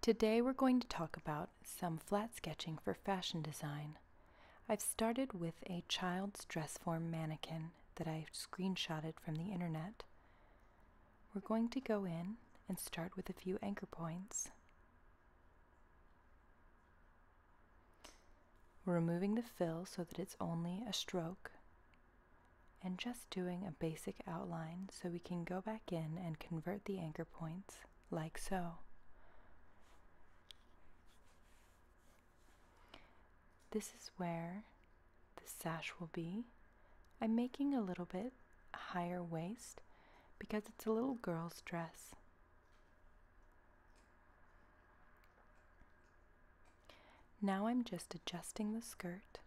Today we're going to talk about some flat sketching for fashion design. I've started with a child's dress form mannequin that I have screenshotted from the internet. We're going to go in and start with a few anchor points. We're removing the fill so that it's only a stroke and just doing a basic outline so we can go back in and convert the anchor points like so. This is where the sash will be. I'm making a little bit higher waist because it's a little girl's dress. Now I'm just adjusting the skirt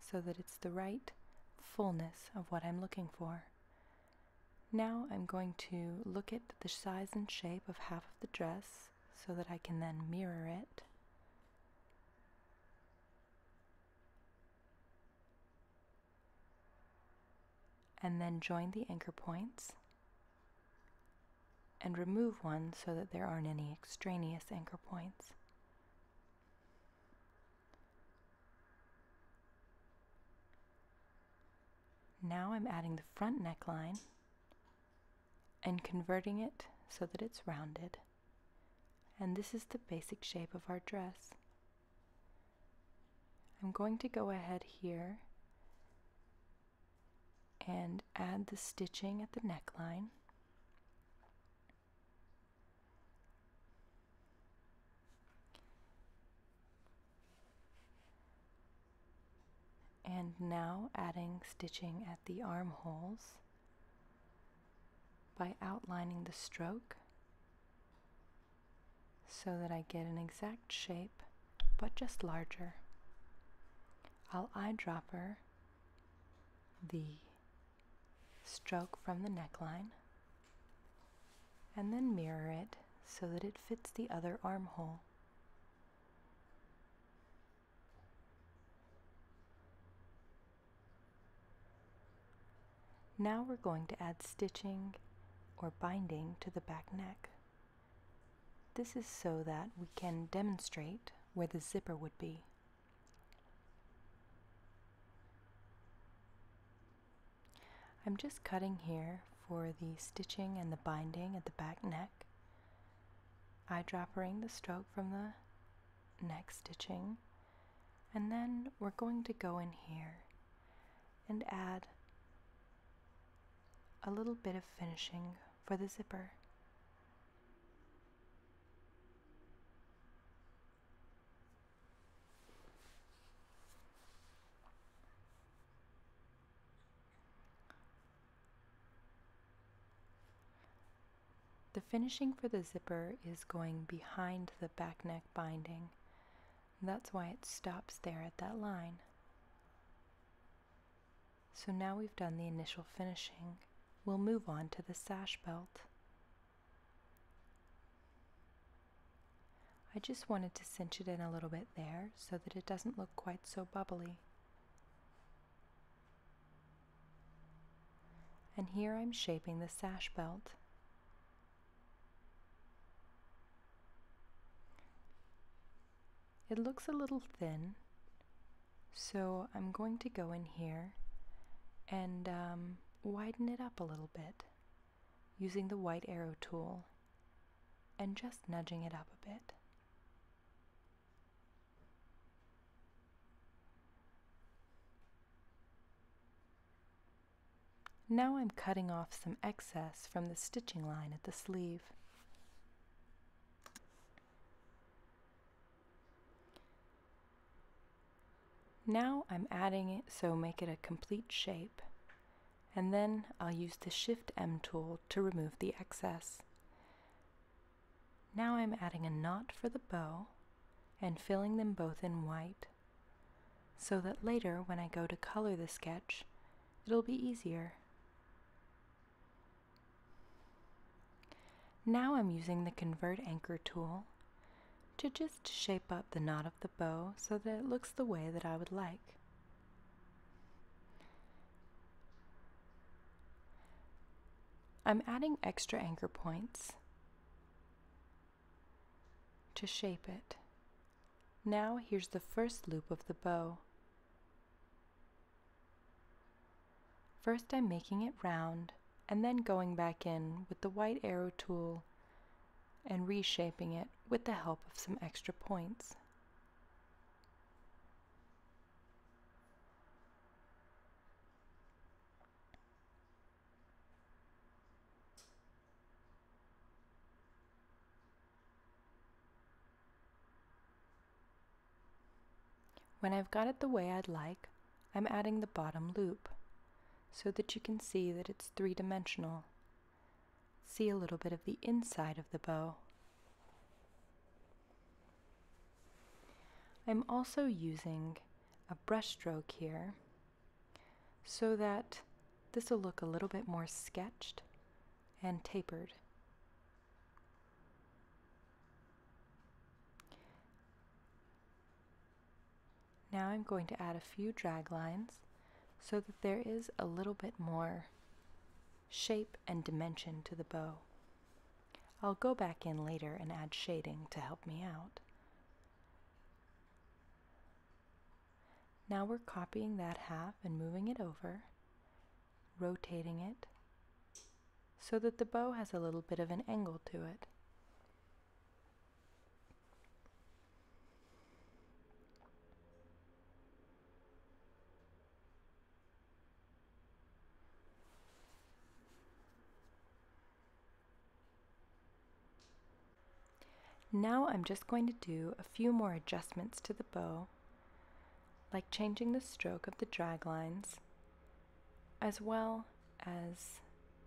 so that it's the right fullness of what I'm looking for. Now I'm going to look at the size and shape of half of the dress so that I can then mirror it. And then join the anchor points and remove one so that there aren't any extraneous anchor points. Now I'm adding the front neckline and converting it so that it's rounded. And this is the basic shape of our dress. I'm going to go ahead here and add the stitching at the neckline. And now adding stitching at the armholes by outlining the stroke so that I get an exact shape, but just larger. I'll eyedropper the stroke from the neckline and then mirror it so that it fits the other armhole. Now we're going to add stitching or binding to the back neck. This is so that we can demonstrate where the zipper would be. I'm just cutting here for the stitching and the binding at the back neck, eyedroppering the stroke from the neck stitching, and then we're going to go in here and add a little bit of finishing for the zipper. The finishing for the zipper is going behind the back neck binding that's why it stops there at that line. So now we've done the initial finishing, we'll move on to the sash belt. I just wanted to cinch it in a little bit there so that it doesn't look quite so bubbly. And here I'm shaping the sash belt. It looks a little thin, so I'm going to go in here and um, widen it up a little bit using the white arrow tool and just nudging it up a bit. Now I'm cutting off some excess from the stitching line at the sleeve. Now I'm adding it so make it a complete shape and then I'll use the Shift M tool to remove the excess. Now I'm adding a knot for the bow and filling them both in white so that later when I go to color the sketch, it'll be easier. Now I'm using the Convert Anchor tool to just shape up the knot of the bow so that it looks the way that I would like. I'm adding extra anchor points to shape it. Now here's the first loop of the bow. First I'm making it round and then going back in with the white arrow tool and reshaping it with the help of some extra points. When I've got it the way I'd like, I'm adding the bottom loop so that you can see that it's three-dimensional. See a little bit of the inside of the bow. I'm also using a brush stroke here so that this will look a little bit more sketched and tapered. Now I'm going to add a few drag lines so that there is a little bit more shape and dimension to the bow. I'll go back in later and add shading to help me out. Now we're copying that half and moving it over, rotating it, so that the bow has a little bit of an angle to it. Now I'm just going to do a few more adjustments to the bow, like changing the stroke of the drag lines, as well as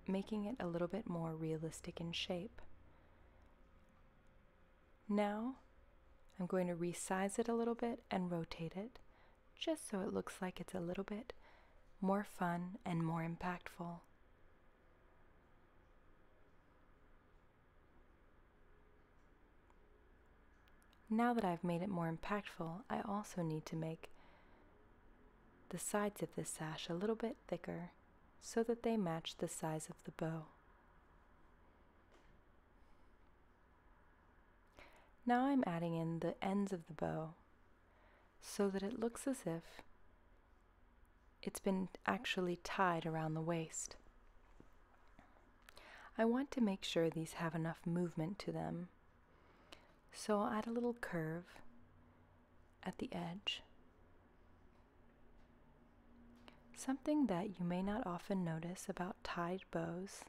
making it a little bit more realistic in shape. Now I'm going to resize it a little bit and rotate it just so it looks like it's a little bit more fun and more impactful. Now that I've made it more impactful, I also need to make the sides of this sash a little bit thicker so that they match the size of the bow. Now I'm adding in the ends of the bow so that it looks as if it's been actually tied around the waist. I want to make sure these have enough movement to them, so I'll add a little curve at the edge. Something that you may not often notice about tied bows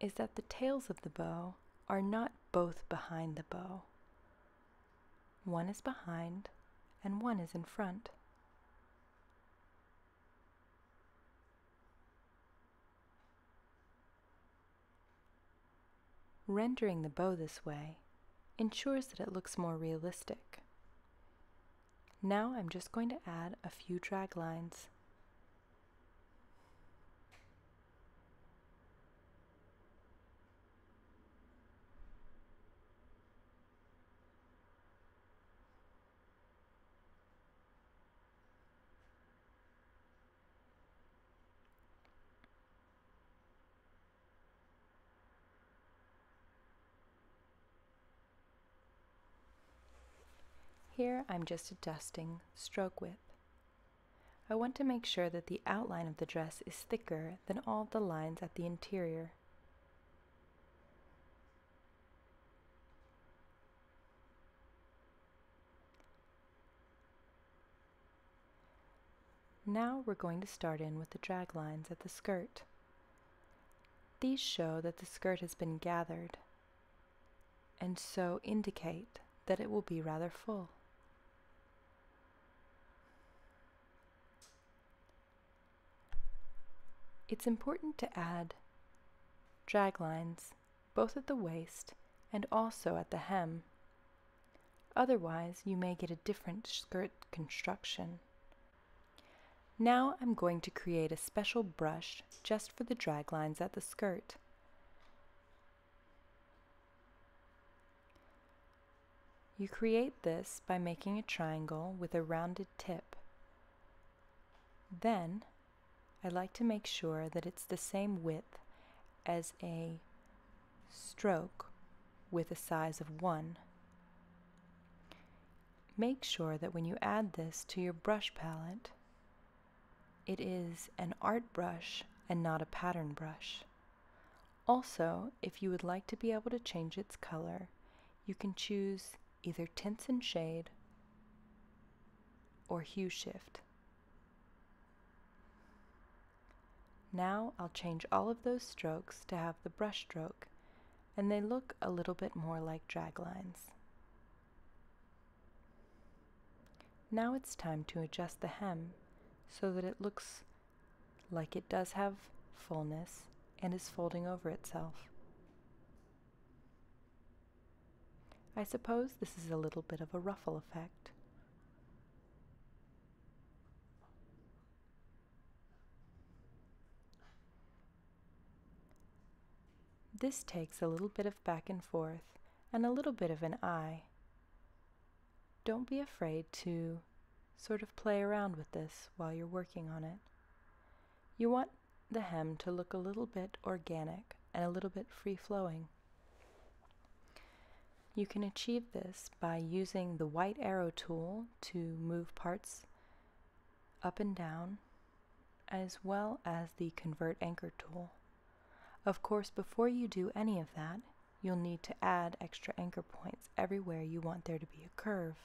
is that the tails of the bow are not both behind the bow, one is behind and one is in front. Rendering the bow this way ensures that it looks more realistic. Now I'm just going to add a few drag lines. Here I'm just adjusting stroke width. I want to make sure that the outline of the dress is thicker than all the lines at the interior. Now we're going to start in with the drag lines at the skirt. These show that the skirt has been gathered and so indicate that it will be rather full. It's important to add drag lines both at the waist and also at the hem. Otherwise, you may get a different skirt construction. Now I'm going to create a special brush just for the drag lines at the skirt. You create this by making a triangle with a rounded tip. Then, I like to make sure that it's the same width as a stroke with a size of 1. Make sure that when you add this to your brush palette, it is an art brush and not a pattern brush. Also, if you would like to be able to change its color, you can choose either tints and shade or hue shift. Now I'll change all of those strokes to have the brush stroke and they look a little bit more like drag lines. Now it's time to adjust the hem so that it looks like it does have fullness and is folding over itself. I suppose this is a little bit of a ruffle effect. This takes a little bit of back and forth and a little bit of an eye don't be afraid to sort of play around with this while you're working on it. You want the hem to look a little bit organic and a little bit free flowing. You can achieve this by using the white arrow tool to move parts up and down, as well as the convert anchor tool. Of course, before you do any of that, you'll need to add extra anchor points everywhere you want there to be a curve.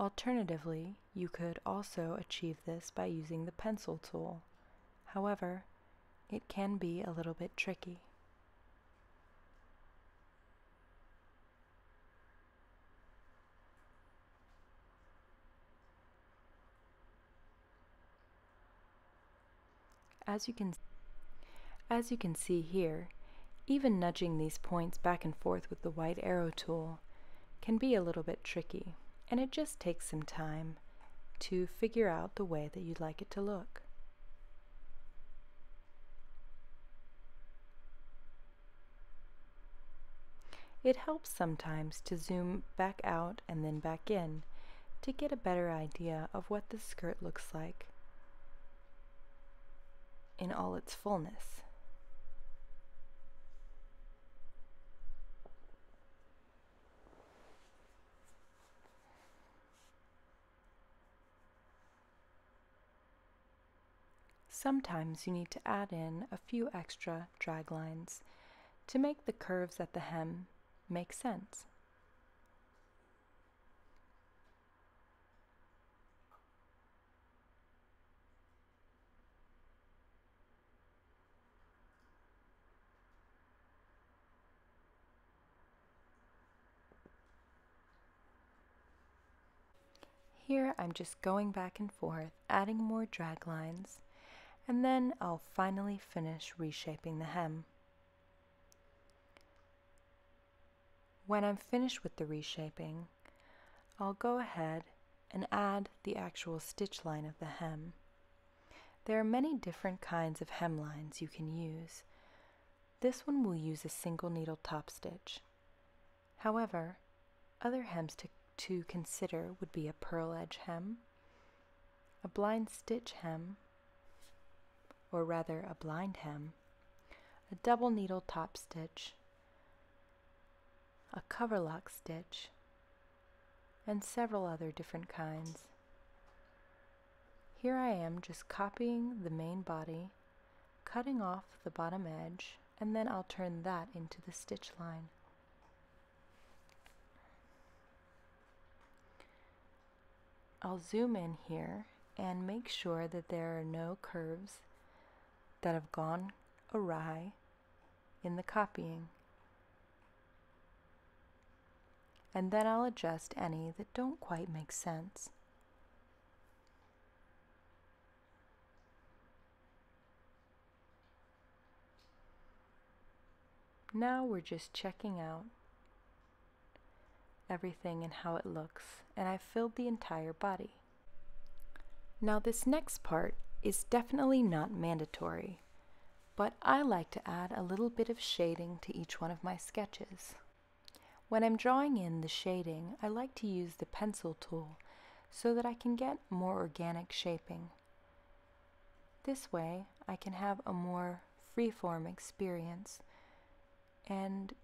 Alternatively, you could also achieve this by using the pencil tool. However, it can be a little bit tricky. As you can as you can see here, even nudging these points back and forth with the white arrow tool can be a little bit tricky, and it just takes some time to figure out the way that you'd like it to look. It helps sometimes to zoom back out and then back in to get a better idea of what the skirt looks like in all its fullness. Sometimes you need to add in a few extra drag lines to make the curves at the hem make sense. Here I'm just going back and forth, adding more drag lines, and then I'll finally finish reshaping the hem. When I'm finished with the reshaping, I'll go ahead and add the actual stitch line of the hem. There are many different kinds of hemlines you can use. This one will use a single needle top stitch. However, other hems to, consider would be a pearl edge hem, a blind stitch hem, or rather a blind hem, a double needle top stitch, a coverlock stitch, and several other different kinds. Here I am just copying the main body, cutting off the bottom edge, and then I'll turn that into the stitch line. I'll zoom in here and make sure that there are no curves that have gone awry in the copying. And then I'll adjust any that don't quite make sense. Now we're just checking out everything and how it looks, and I've filled the entire body. Now this next part is definitely not mandatory, but I like to add a little bit of shading to each one of my sketches. When I'm drawing in the shading, I like to use the pencil tool so that I can get more organic shaping. This way, I can have a more freeform experience and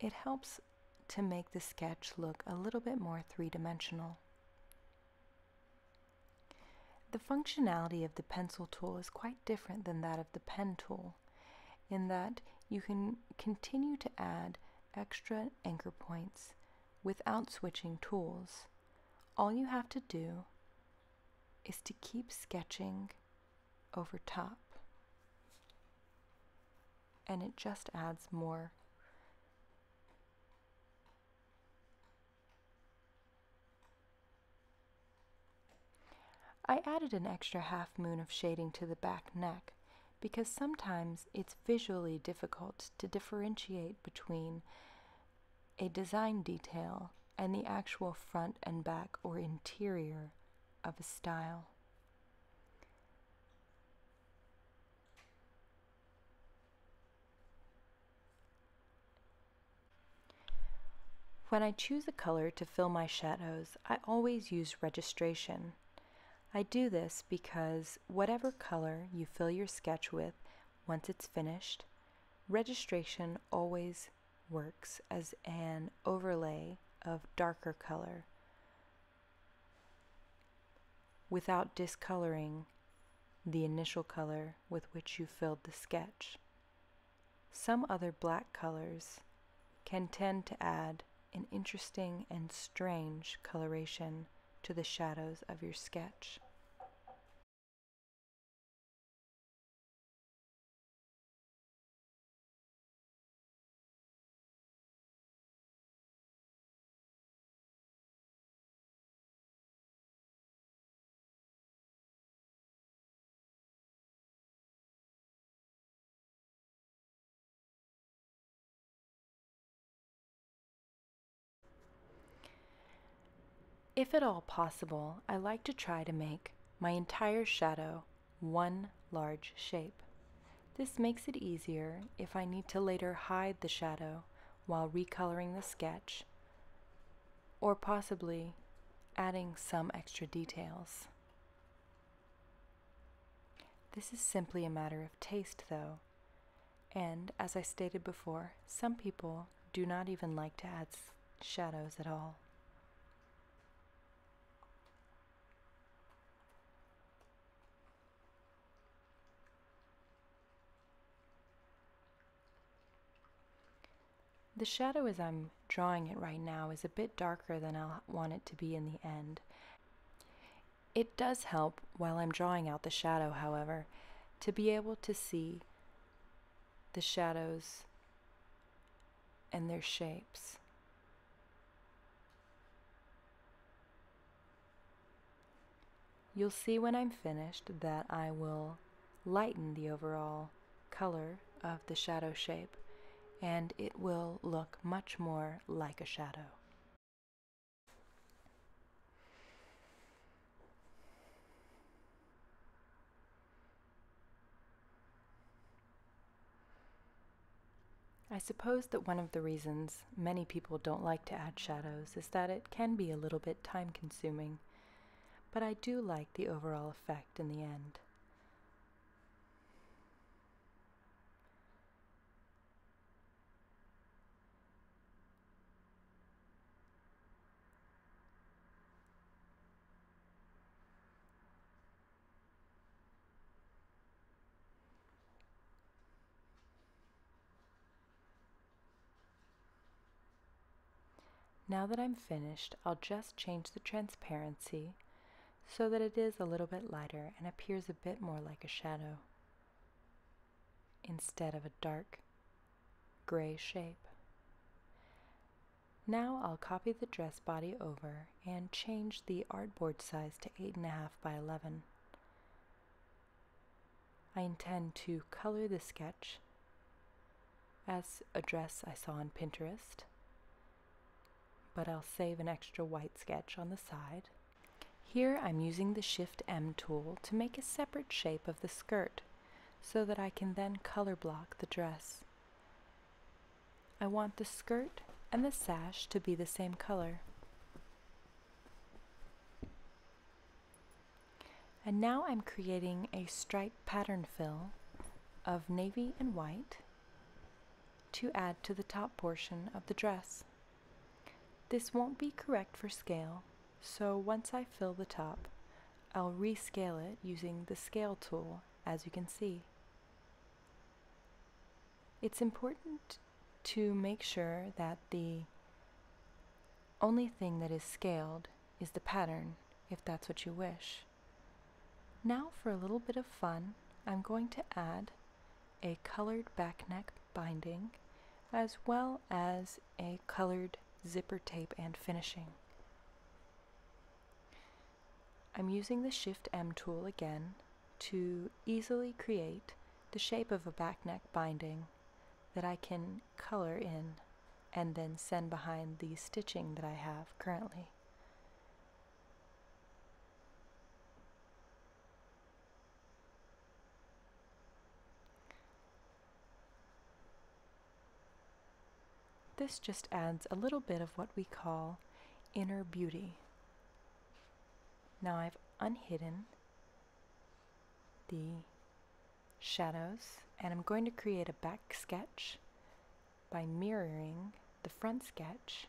it helps to make the sketch look a little bit more three-dimensional. The functionality of the pencil tool is quite different than that of the pen tool in that you can continue to add extra anchor points without switching tools. All you have to do is to keep sketching over top, and it just adds more. I added an extra half moon of shading to the back neck because sometimes it's visually difficult to differentiate between a design detail and the actual front and back or interior of a style. When I choose a color to fill my shadows, I always use registration I do this because whatever color you fill your sketch with once it's finished, registration always works as an overlay of darker color without discoloring the initial color with which you filled the sketch. Some other black colors can tend to add an interesting and strange coloration to the shadows of your sketch. If at all possible, I like to try to make my entire shadow one large shape. This makes it easier if I need to later hide the shadow while recoloring the sketch or possibly adding some extra details. This is simply a matter of taste, though, and as I stated before, some people do not even like to add shadows at all. The shadow, is I'm um, drawing it right now is a bit darker than i want it to be in the end. It does help while I'm drawing out the shadow, however, to be able to see the shadows and their shapes. You'll see when I'm finished that I will lighten the overall color of the shadow shape and it will look much more like a shadow. I suppose that one of the reasons many people don't like to add shadows is that it can be a little bit time consuming, but I do like the overall effect in the end. Now that I'm finished, I'll just change the transparency so that it is a little bit lighter and appears a bit more like a shadow instead of a dark gray shape. Now I'll copy the dress body over and change the artboard size to 8.5 by 11. I intend to color the sketch as a dress I saw on Pinterest but I'll save an extra white sketch on the side. Here I'm using the Shift M tool to make a separate shape of the skirt so that I can then color block the dress. I want the skirt and the sash to be the same color. And now I'm creating a stripe pattern fill of navy and white to add to the top portion of the dress. This won't be correct for scale, so once I fill the top, I'll rescale it using the scale tool, as you can see. It's important to make sure that the only thing that is scaled is the pattern, if that's what you wish. Now for a little bit of fun, I'm going to add a colored back neck binding as well as a colored zipper tape and finishing. I'm using the Shift M tool again to easily create the shape of a back neck binding that I can color in and then send behind the stitching that I have currently. This just adds a little bit of what we call inner beauty. Now I've unhidden the shadows and I'm going to create a back sketch by mirroring the front sketch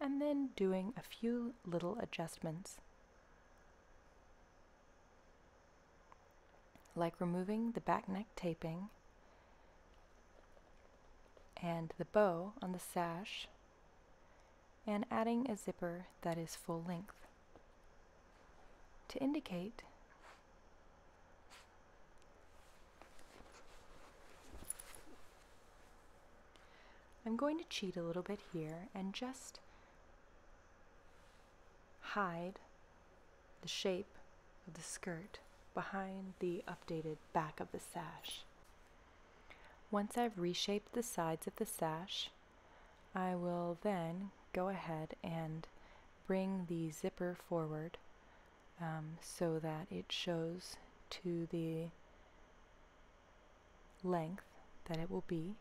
and then doing a few little adjustments. Like removing the back neck taping and the bow on the sash and adding a zipper that is full length to indicate I'm going to cheat a little bit here and just hide the shape of the skirt behind the updated back of the sash. Once I've reshaped the sides of the sash, I will then go ahead and bring the zipper forward um, so that it shows to the length that it will be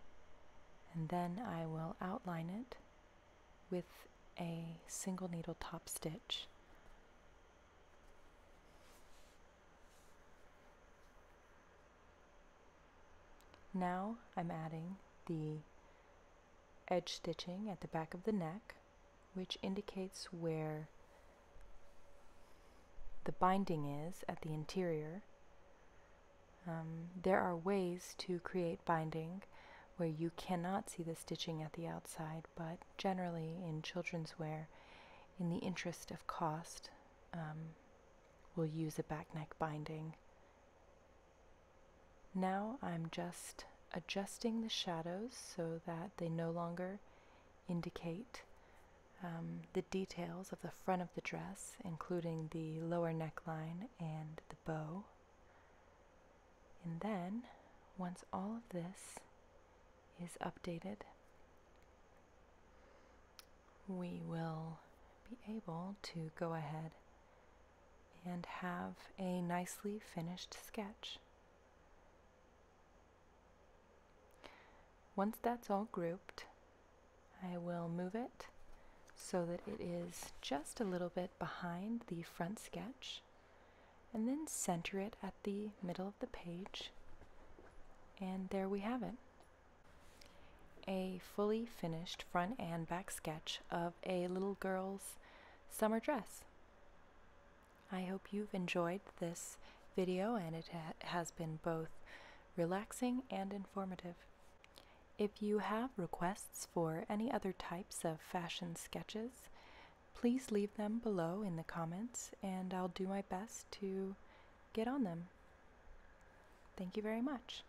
and then I will outline it with a single needle top stitch. Now I'm adding the edge stitching at the back of the neck, which indicates where the binding is at the interior. Um, there are ways to create binding where you cannot see the stitching at the outside, but generally in children's wear, in the interest of cost, um, we'll use a back neck binding now I'm just adjusting the shadows so that they no longer indicate um, the details of the front of the dress, including the lower neckline and the bow. And then, once all of this is updated, we will be able to go ahead and have a nicely finished sketch. Once that's all grouped, I will move it so that it is just a little bit behind the front sketch and then center it at the middle of the page and there we have it. A fully finished front and back sketch of a little girl's summer dress. I hope you've enjoyed this video and it has been both relaxing and informative. If you have requests for any other types of fashion sketches, please leave them below in the comments and I'll do my best to get on them. Thank you very much.